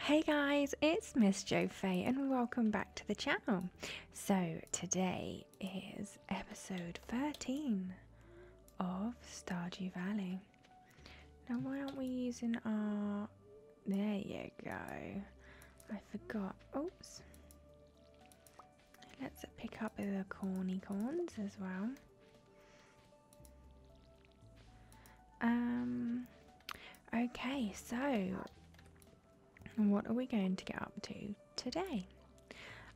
Hey guys, it's Miss Jo Fay and welcome back to the channel. So today is episode 13 of Stardew Valley. Now why aren't we using our... There you go. I forgot. Oops. Let's pick up the corny corns as well. Um, okay, so what are we going to get up to today?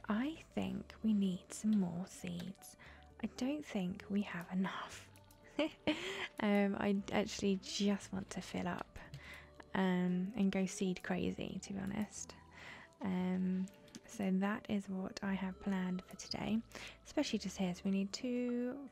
I think we need some more seeds. I don't think we have enough. um, I actually just want to fill up um, and go seed crazy, to be honest. Um, so that is what I have planned for today. Especially just here, so we need two,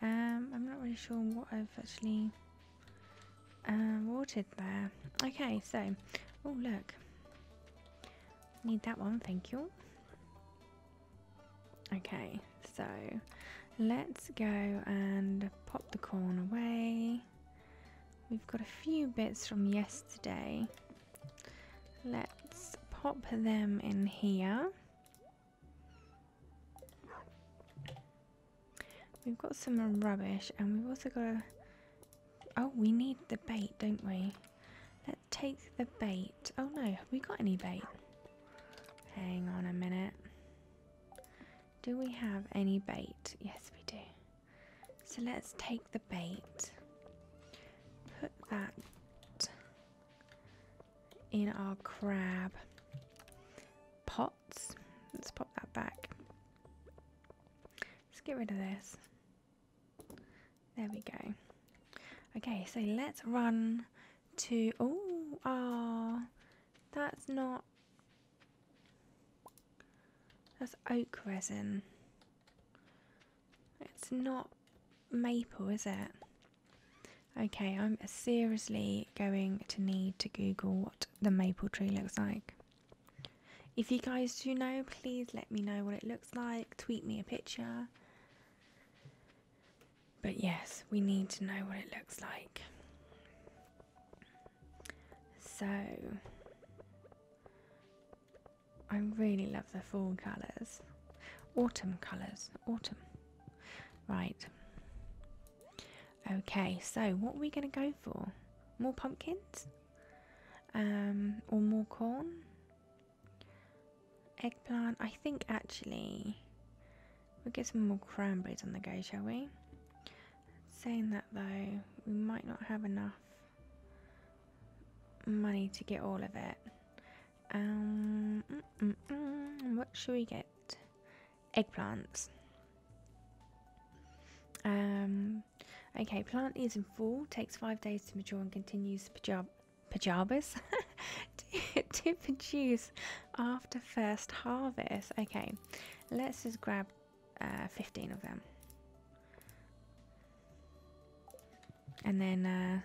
Um, I'm not really sure what I've actually um, watered there. Okay, so, oh look, need that one, thank you. Okay, so let's go and pop the corn away. We've got a few bits from yesterday. Let's pop them in here. We've got some rubbish and we've also got a... Oh, we need the bait, don't we? Let's take the bait. Oh no, have we got any bait? Hang on a minute. Do we have any bait? Yes, we do. So let's take the bait. Put that in our crab pots. Let's pop that back. Let's get rid of this. There we go. Okay, so let's run to. Oh, ah, that's not. That's oak resin. It's not maple, is it? Okay, I'm seriously going to need to Google what the maple tree looks like. If you guys do know, please let me know what it looks like. Tweet me a picture. But yes, we need to know what it looks like. So, I really love the fall colours. Autumn colours. Autumn. Right. Okay, so what are we going to go for? More pumpkins? Um, or more corn? Eggplant. I think actually we'll get some more cranberries on the go, shall we? Saying that though, we might not have enough money to get all of it. Um, mm, mm, mm, what should we get? Eggplants. Um, okay, plant is in fall. takes five days to mature and continues pajab pajamas to, produce after first harvest. Okay, let's just grab uh, 15 of them. And then uh,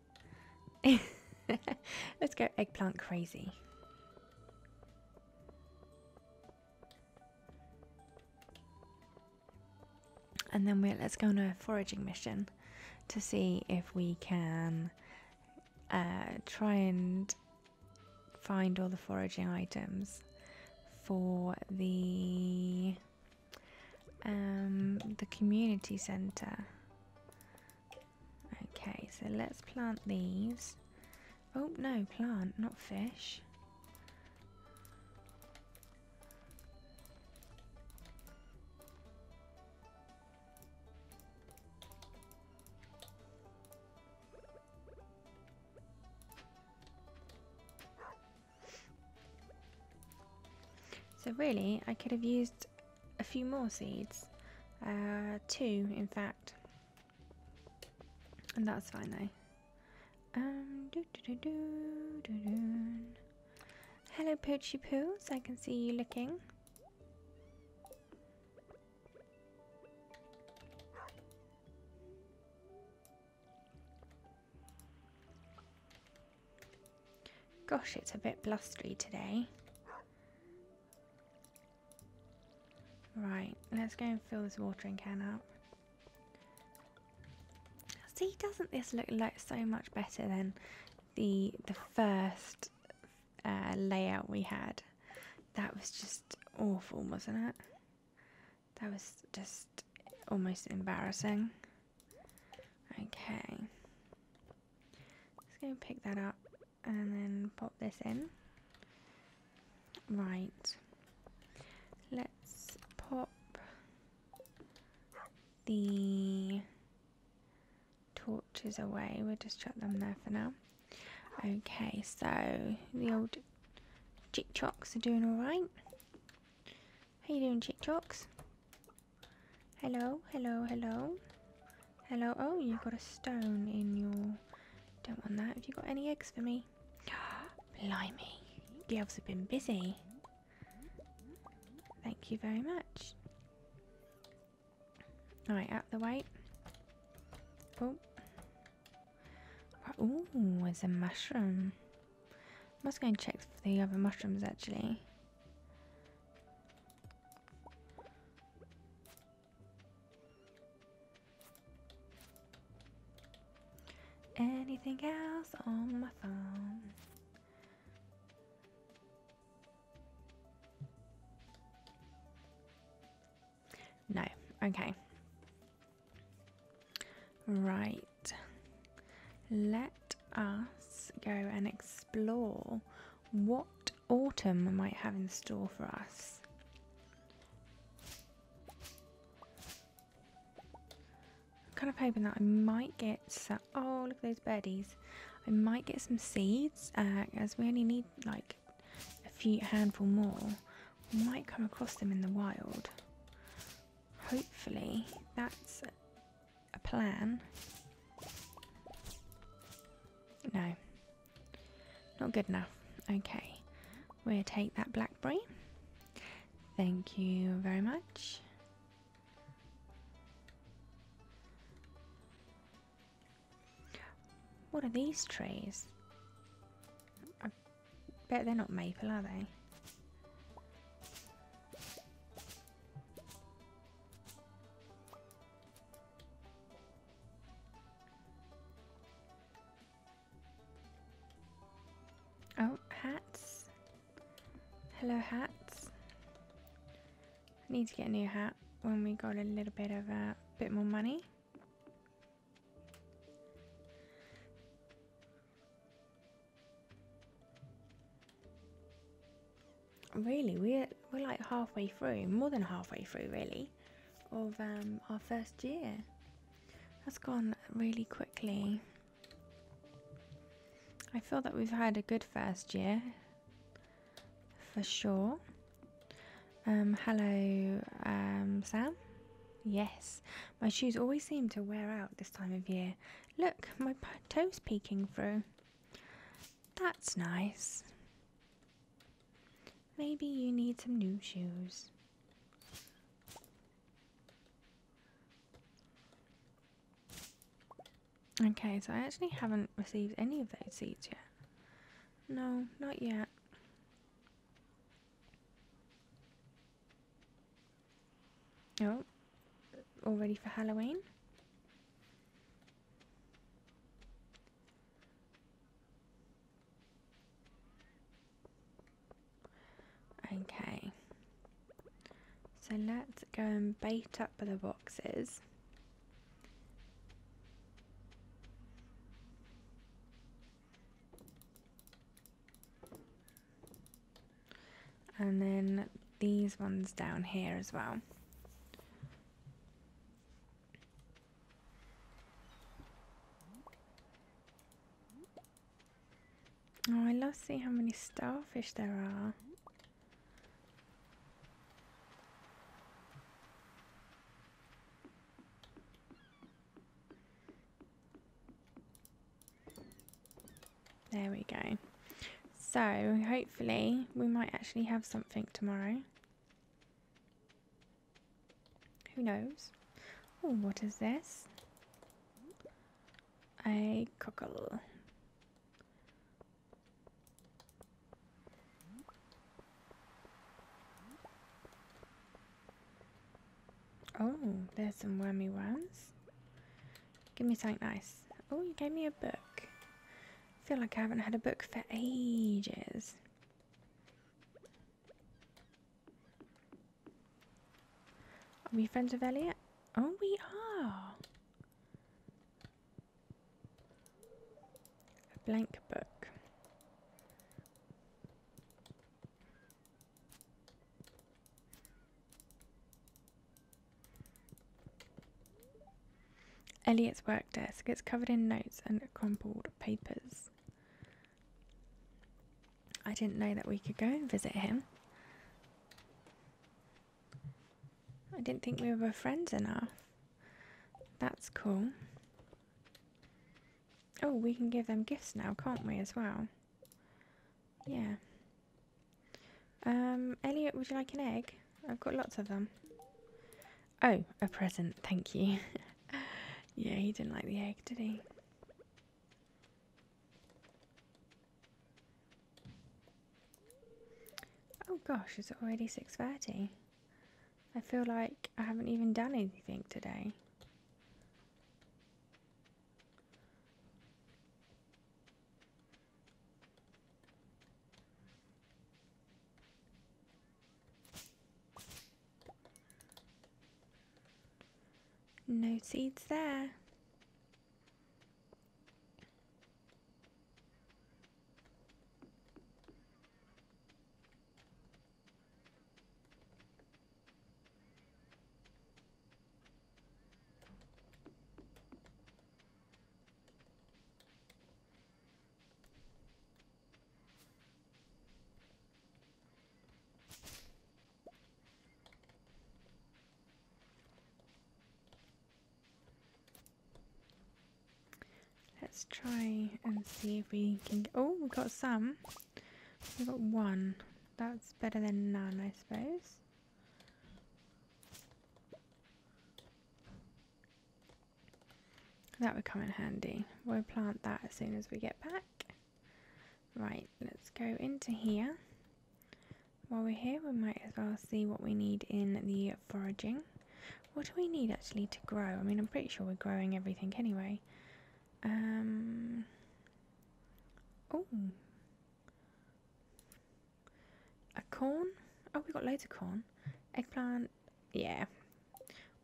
Let's go eggplant crazy. And then we let's go on a foraging mission to see if we can uh, try and find all the foraging items for the um, the community centre. Okay, so let's plant these. Oh, no, plant, not fish. So really, I could have used a few more seeds, uh, two in fact, and that's fine though. Um, Hello, doo poo. So I can see you looking. Gosh, it's a bit blustery today. Right, let's go and fill this watering can up. See, doesn't this look so much better than the the first uh, layout we had? That was just awful, wasn't it? That was just almost embarrassing. Okay. Let's go pick that up and then pop this in. Right. Let's pop the torches away. We'll just chuck them there for now. Okay, so the old chick chocks are doing alright. How you doing, chick chocks? Hello, hello, hello. Hello. Oh, you've got a stone in your. Don't want that. Have you got any eggs for me? Blimey. You elves have been busy. Thank you very much. Alright, up the way. Oh. Ooh, there's a mushroom. must go and check for the other mushrooms actually. Anything else on my phone? No. Okay. Right. Let us go and explore what autumn might have in store for us. I'm kind of hoping that I might get some. Oh, look at those birdies. I might get some seeds uh, as we only need like a few handful more. We might come across them in the wild. Hopefully, that's a plan. No. Not good enough. Okay. We'll take that blackberry. Thank you very much. What are these trees? I bet they're not maple, are they? Oh, hats. Hello, hats. I need to get a new hat when we got a little bit of a bit more money really we're we're like halfway through more than halfway through really of um, our first year that's gone really quickly i feel that we've had a good first year for sure um, hello um, sam yes my shoes always seem to wear out this time of year look my toes peeking through that's nice. Maybe you need some new shoes. Okay, so I actually haven't received any of those seeds yet. No, not yet. Oh, all ready for Halloween. Okay, so let's go and bait up the boxes and then these ones down here as well. Oh, I love see how many starfish there are. There we go. So hopefully we might actually have something tomorrow. Who knows? Oh, what is this? A cockle. Oh, there's some wormy ones. Give me something nice. Oh, you gave me a book. I feel like I haven't had a book for ages. Are we friends with Elliot? Oh, we are. A blank book. Elliot's work desk gets covered in notes and crumpled papers. I didn't know that we could go and visit him. I didn't think we were friends enough. That's cool. Oh, we can give them gifts now, can't we, as well? Yeah. Um, Elliot, would you like an egg? I've got lots of them. Oh, a present, thank you. yeah, he didn't like the egg, did he? Oh gosh, it's already 6.30. I feel like I haven't even done anything today. No seeds there. Let's try and see if we can. Oh, we have got some. We have got one. That's better than none, I suppose. That would come in handy. We'll plant that as soon as we get back. Right, let's go into here. While we're here, we might as well see what we need in the foraging. What do we need actually to grow? I mean, I'm pretty sure we're growing everything anyway. Um. Oh, a corn? Oh, we got loads of corn. Eggplant. Yeah.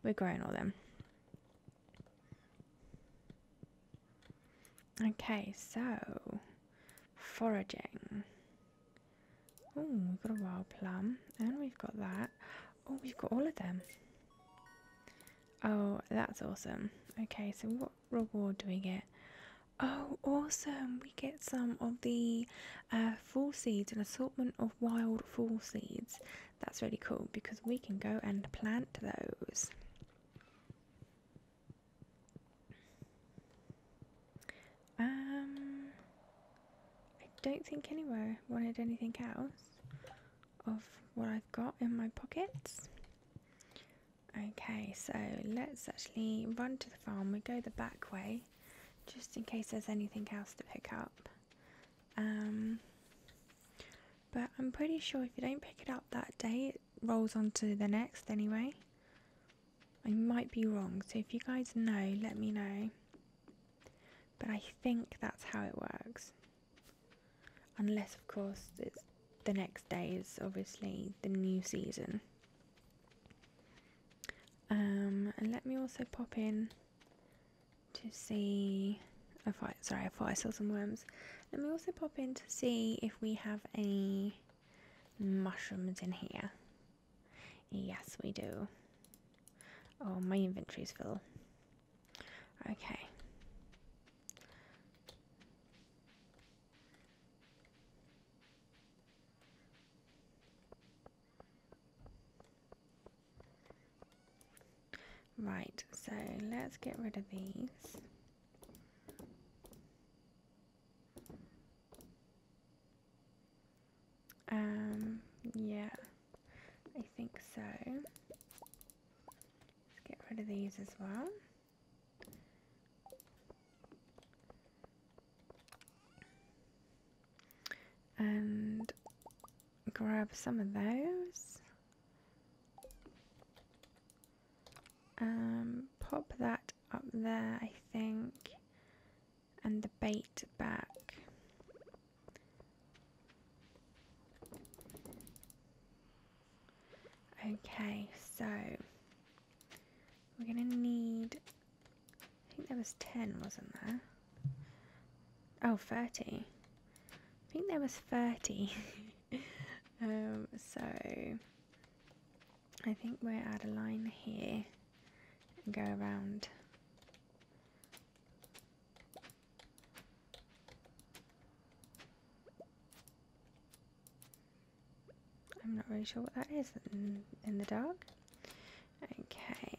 We're growing all them. Okay, so foraging. Oh, we've got a wild plum, and we've got that. Oh, we've got all of them. Oh, that's awesome. Okay, so what reward do we get? Oh, awesome! We get some of the uh, fall seeds, an assortment of wild fall seeds. That's really cool because we can go and plant those. Um, I don't think anyone wanted anything else of what I've got in my pockets. Okay, so let's actually run to the farm. We go the back way, just in case there's anything else to pick up. Um, but I'm pretty sure if you don't pick it up that day, it rolls on to the next anyway. I might be wrong, so if you guys know, let me know. But I think that's how it works. Unless, of course, the next day is obviously the new season. Um, and let me also pop in to see if I sorry, I thought saw some worms. Let me also pop in to see if we have any mushrooms in here. Yes, we do. Oh, my inventory's full. Okay. Right, so let's get rid of these. Um, yeah, I think so. Let's get rid of these as well. And grab some of those. Um, pop that up there, I think. And the bait back. Okay, so we're gonna need, I think there was 10, wasn't there? Oh, 30. I think there was 30. um, so, I think we'll add a line here go around. I'm not really sure what that is in, the dark. Okay.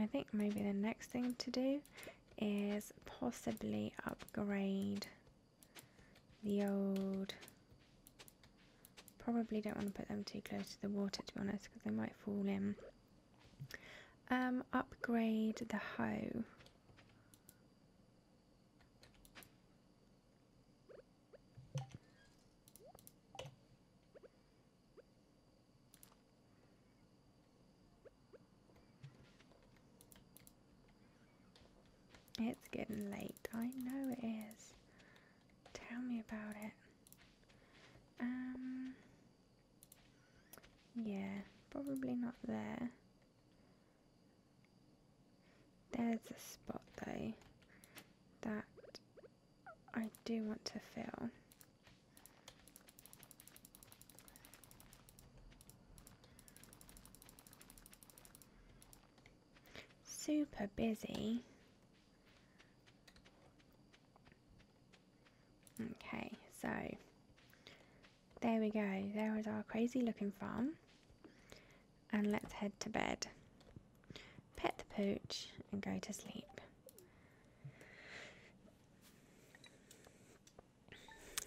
I think maybe the next thing to do is possibly upgrade the old Probably don't want to put them too close to the water to be honest because they might fall in. Um, upgrade the hoe. It's getting late. I know it is. Tell me about it. Um, yeah, probably not there. There's a spot though that I do want to fill. Super busy. Okay, so there we go. There is our crazy looking farm. And let's head to bed. Pet the pooch and go to sleep.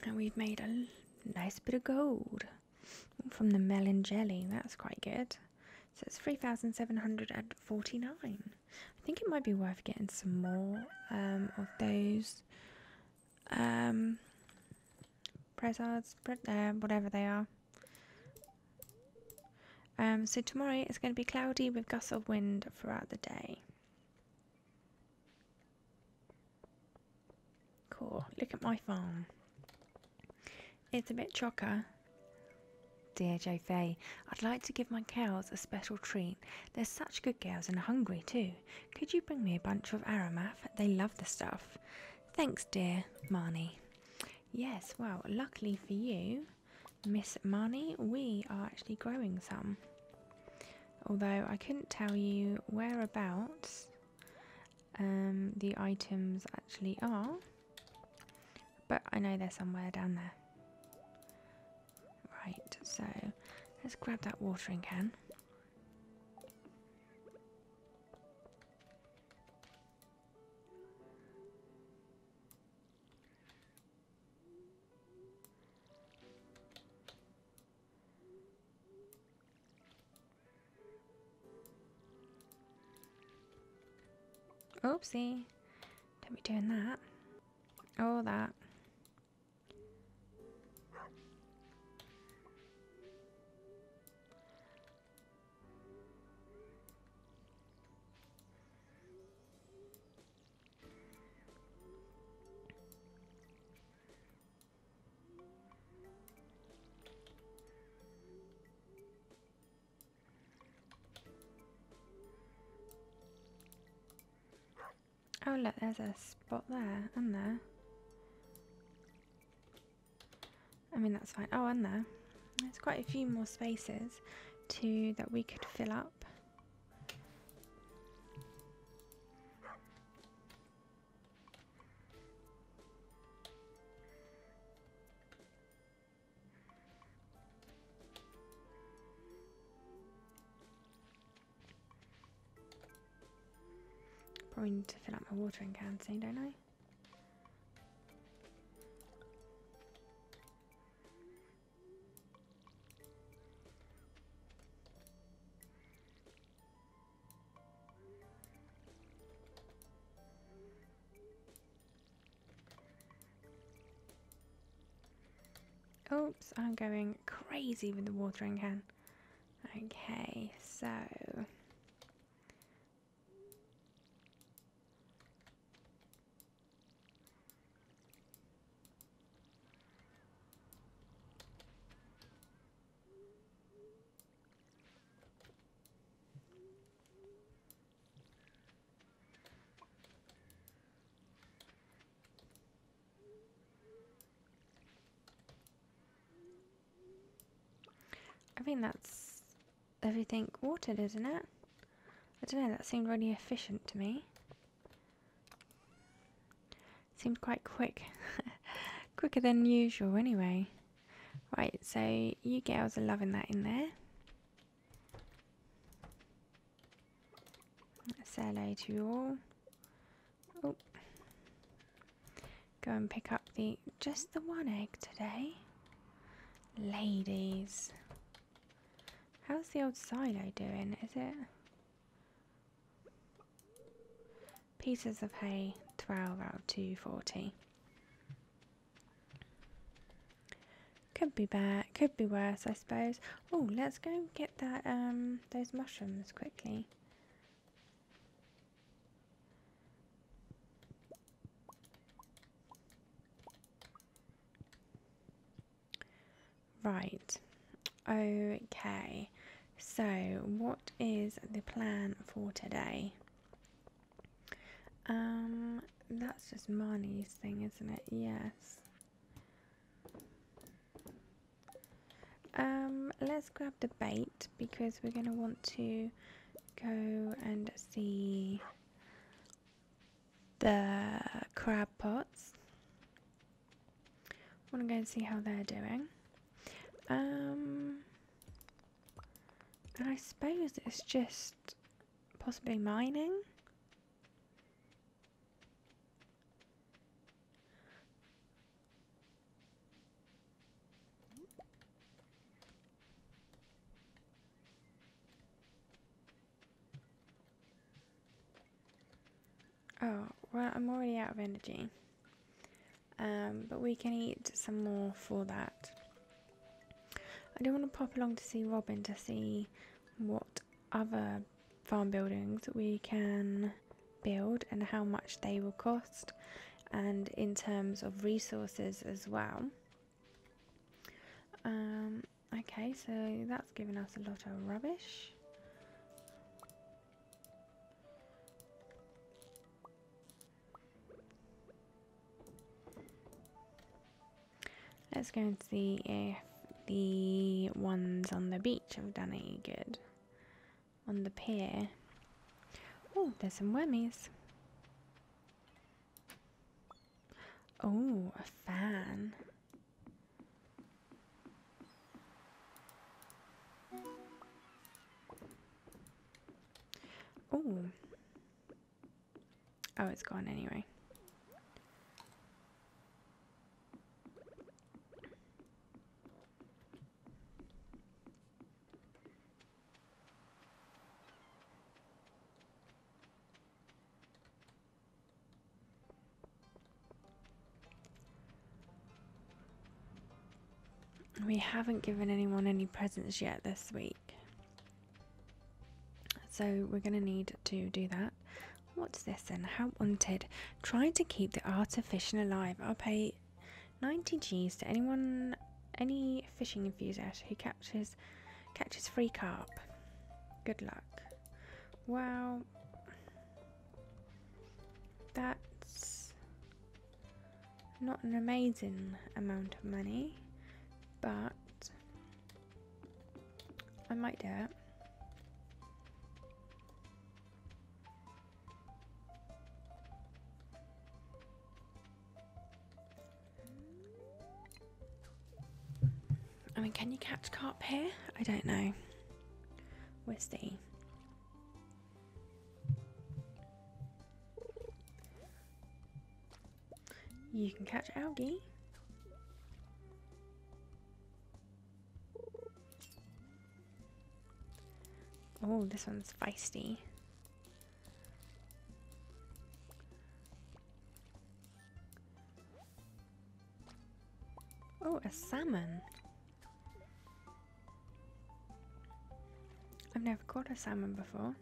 And we've made a nice bit of gold from the melon jelly. That's quite good. So it's 3,749. I think it might be worth getting some more um, of those Press um, pressards, there, uh, whatever they are. Um, so tomorrow it's going to be cloudy with gusts of wind throughout the day. Cool. Look at my farm. It's a bit chocker. Dear J Fay, I'd like to give my cows a special treat. They're such good girls and hungry too. Could you bring me a bunch of Aramath? They love the stuff. Thanks, dear Marnie. Yes, well, luckily for you, Miss Marnie, we are actually growing some. Although I couldn't tell you whereabouts um, the items actually are, but I know they're somewhere down there. Right, so let's grab that watering can. Oopsie. Don't be doing that. Oh, that. Oh look, there's a spot there and there. I mean that's fine. Oh, and there. There's quite a few more spaces too that we could fill up. Probably need to fill up my watering can soon, don't I? Oops, I'm going crazy with the watering can. Okay, so... I mean that's everything watered, isn't it? I don't know, that seemed really efficient to me. Seemed quite quick. Quicker than usual, anyway. Right, so you girls are loving that in there. Say hello to you all. Oh. Go and pick up the just the one egg today. Ladies. How's the old silo doing? Is it pieces of hay 12 out of 240 could be bad could be worse i suppose oh let's go get that um those mushrooms quickly right okay so what is the plan for today um, that's just Marnie's thing, isn't it? Yes. Um, let's grab the bait because we're going to want to go and see the crab pots. I want to go and see how they're doing. Um, and I suppose it's just possibly mining. Oh, well, I'm already out of energy. Um, but we can eat some more for that. I do want to pop along to see Robin to see what other farm buildings we can build and how much they will cost and in terms of resources as well. Um, okay, so that's given us a lot of rubbish. Let's go and see if the ones on the beach have done any good. On the pier. Oh, there's some wormies. Oh, a fan. Oh. Oh, it's gone anyway we haven't given anyone any presents yet this week. So we're going to need to do that. What's this then? How wanted. Try to keep the art of fishing alive. I'll pay 90 G's to anyone, any fishing enthusiast who catches catches free carp. Good luck. Wow. That's not an amazing amount of money, but I might do it. I mean, can you catch carp here? I don't know. We'll see. You can catch algae. Oh, this one's feisty. Oh, a salmon. I've never caught a salmon before.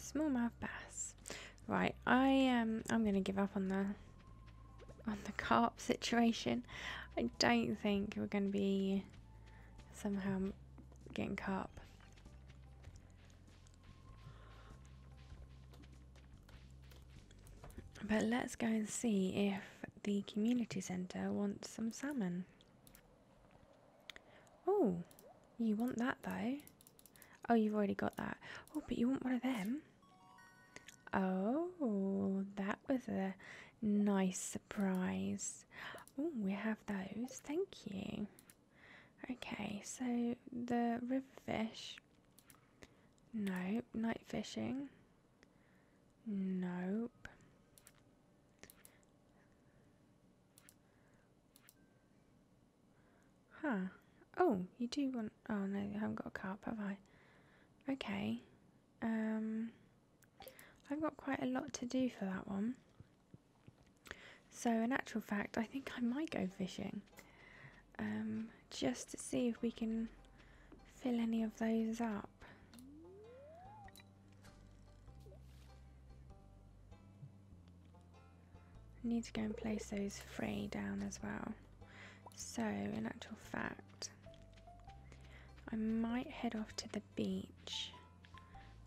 Smallmouth bass. Right, I um I'm gonna give up on the on the carp situation. I don't think we're gonna be somehow I'm getting caught But let's go and see if the community centre wants some salmon. Oh, you want that though. Oh, you've already got that. Oh, but you want one of them. Oh, that was a nice surprise we have those. Thank you. Okay, so the river fish. Nope. Night fishing. Nope. Huh. Oh, you do want. Oh no, I haven't got a carp, have I? Okay. Um. I've got quite a lot to do for that one. So, in actual fact, I think I might go fishing um, just to see if we can fill any of those up. Need to go and place those free down as well. So, in actual fact, I might head off to the beach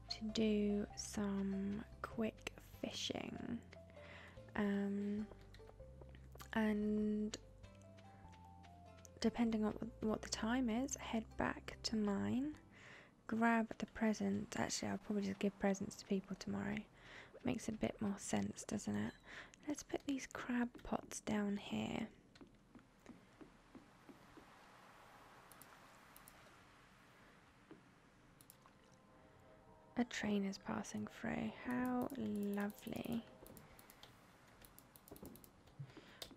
to do some quick fishing. Um, and depending on what the time is, head back to mine, grab the presents. Actually, I'll probably just give presents to people tomorrow. Makes a bit more sense, doesn't it? Let's put these crab pots down here. A train is passing through. How lovely.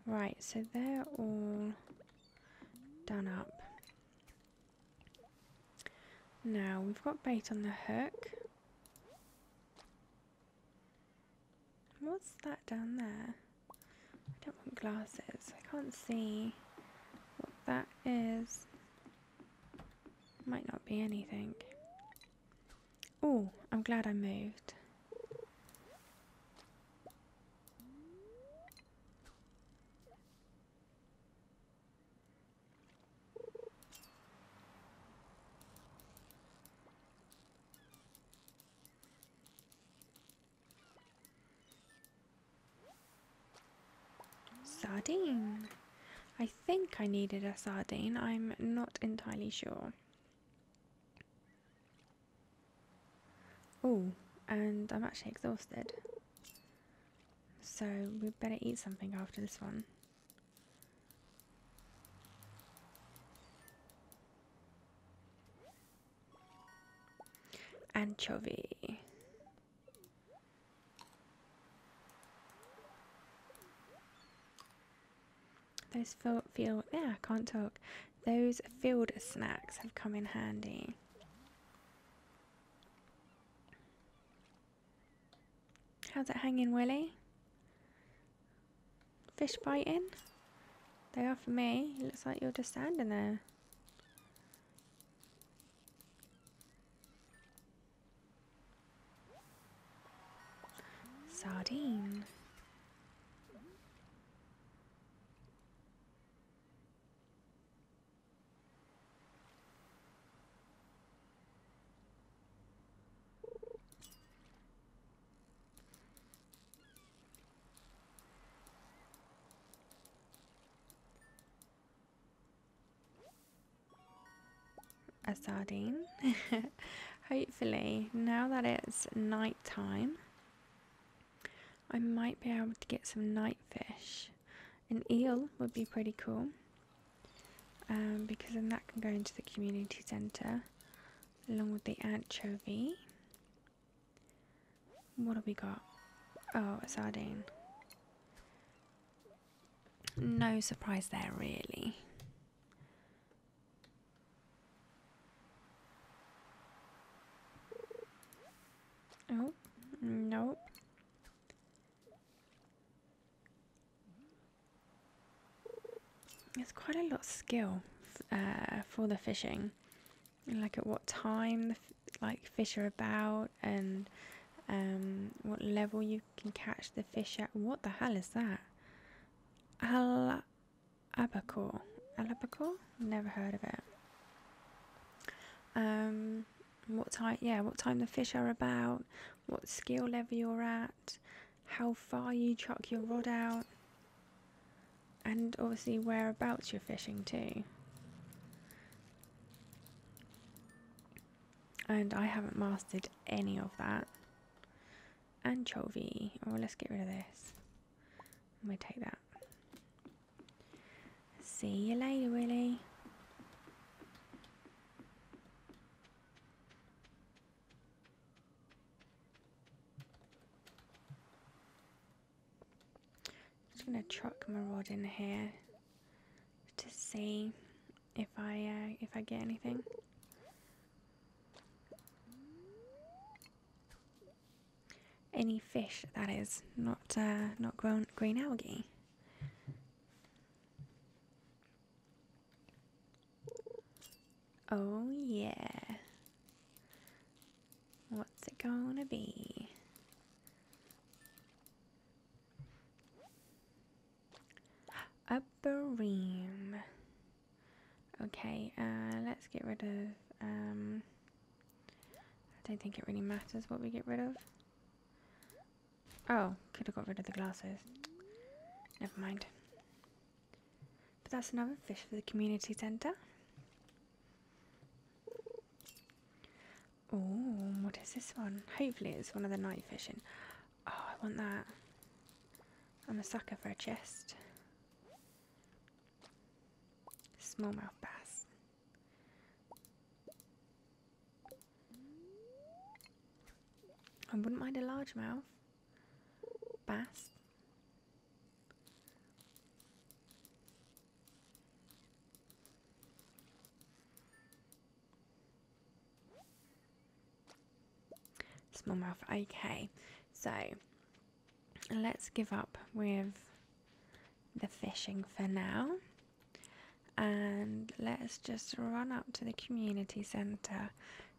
Right, so they're all done up. Now, we've got bait on the hook. What's that down there? I don't want glasses. I can't see what that is. Might not be anything. Oh, I'm glad I moved. Sardine. I think I needed a sardine. I'm not entirely sure. Oh, and I'm actually exhausted. So we better eat something after this one. Anchovy. Those field, yeah, I can't talk. Those field snacks have come in handy. How's it hanging, Willie? Fish biting? They are for me. looks like you're just standing there. Sardine a sardine. Hopefully, now that it's night time, I might be able to get some night fish. An eel would be pretty cool um, because then that can go into the community centre along with the anchovy. What have we got? Oh, a sardine. No surprise there, really. Oh, nope. It's quite a lot of skill uh, for the fishing, like at what time the like fish are about and um, what level you can catch the fish at. What the hell is that? Al albacore, Never heard of it. Um, what time? Yeah, what time the fish are about? What skill level you're at? how far you chuck your rod out, and obviously whereabouts you're fishing too. And I haven't mastered any of that. Anchovy. Oh, let's get rid of this. Let me take that. See you later, Willie just gonna chuck my rod in here to see if I uh, if I get anything. Any fish that is not uh, not grown green algae. Oh, yeah. What's it gonna be? Upper ream. Okay, uh, let's get rid of, um, I don't think it really matters what we get rid of. Oh, could have got rid of the glasses. Never mind. But that's another fish for the community centre. Oh, what is this one? Hopefully it's one of the night fishing. Oh, I want that. I'm a sucker for a chest. Smallmouth bass. I wouldn't mind a largemouth. Bass. Smallmouth. Okay, so let's give up with the fishing for now and let's just run up to the community centre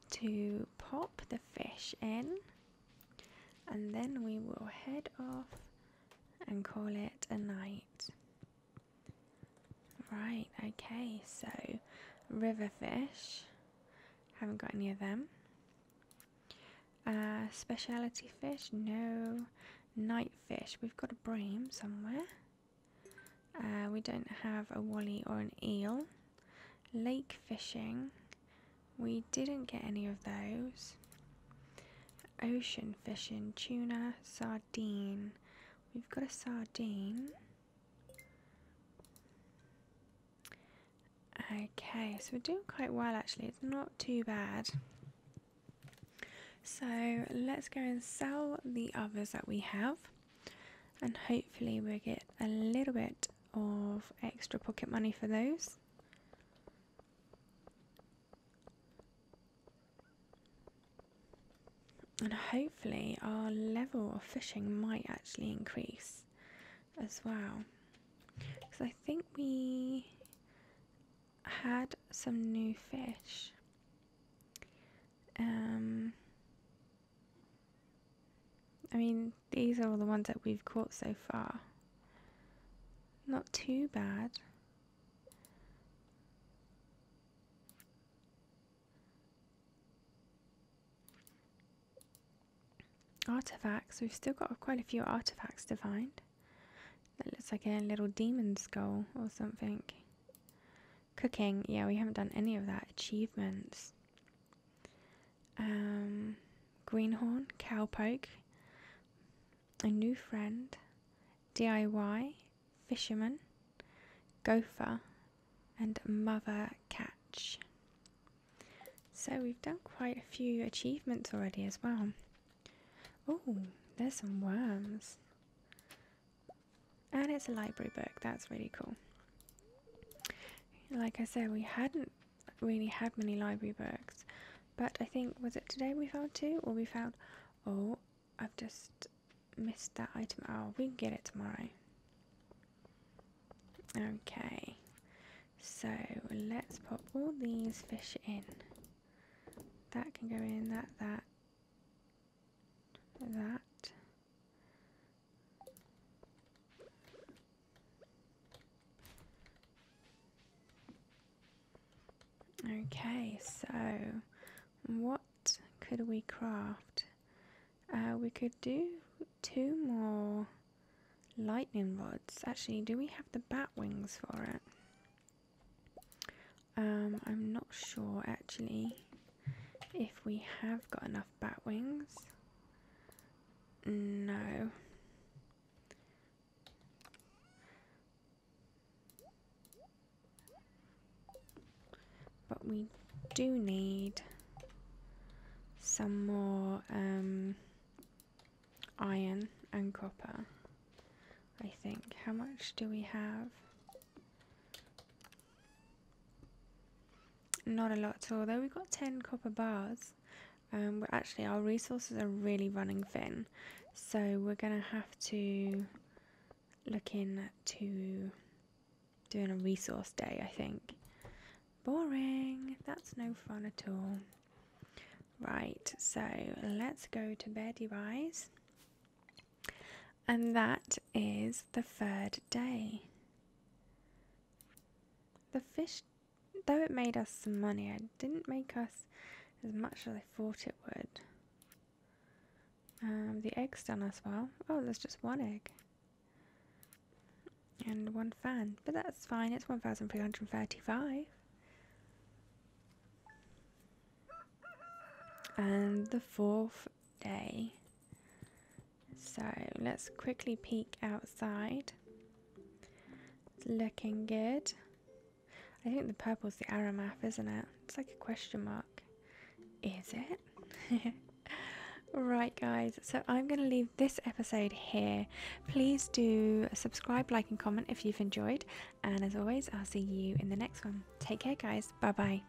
to pop the fish in and then we will head off and call it a night. Right, okay, so river fish, haven't got any of them. Uh, specialty fish, no. Night fish, we've got a bream somewhere. Uh, we don't have a wally or an eel. Lake fishing, we didn't get any of those. Ocean fishing, tuna, sardine. We've got a sardine. Okay, so we're doing quite well actually. It's not too bad. So let's go and sell the others that we have and hopefully we'll get a little bit of extra pocket money for those. And hopefully our level of fishing might actually increase as well. Because I think we had some new fish. Um, I mean, these are all the ones that we've caught so far. Not too bad. Artifacts, we've still got quite a few artifacts to find. That looks like a little demon skull or something. Cooking, yeah, we haven't done any of that. Achievements. Um, greenhorn, cowpoke, a new friend, DIY, fisherman, gopher, and mother catch. So we've done quite a few achievements already as well. Oh, there's some worms. And it's a library book, that's really cool. Like I said, we hadn't really had many library books, but I think was it today we found two, or we found. Oh, I've just missed that item. Oh, we can get it tomorrow. Okay, so let's pop all these fish in. That can go in. That that that Okay, so what could we craft? Uh, we could do two more lightning rods. Actually, do we have the bat wings for it? Um, I'm not sure actually if we have got enough bat wings. No. But we do need some more um, iron and copper, I think. How much do we have? Not a lot at Though we've got 10 copper bars. Um, actually, our resources are really running thin. So we're going to have to look into doing a resource day, I think. Boring. That's no fun at all. Right, so let's go to bed, you guys. And that is the third day. The fish, though it made us some money, it didn't make us as much as I thought it would. Um, the egg's done as well. Oh, there's just one egg. And one fan. But that's fine, it's 1,335. And the fourth day. So let's quickly peek outside. It's looking good. I think the purple's the Aramath, isn't it? It's like a question mark. Is it? Right, guys, so I'm going to leave this episode here. Please do subscribe, like, and comment if you've enjoyed. And as always, I'll see you in the next one. Take care, guys. Bye bye.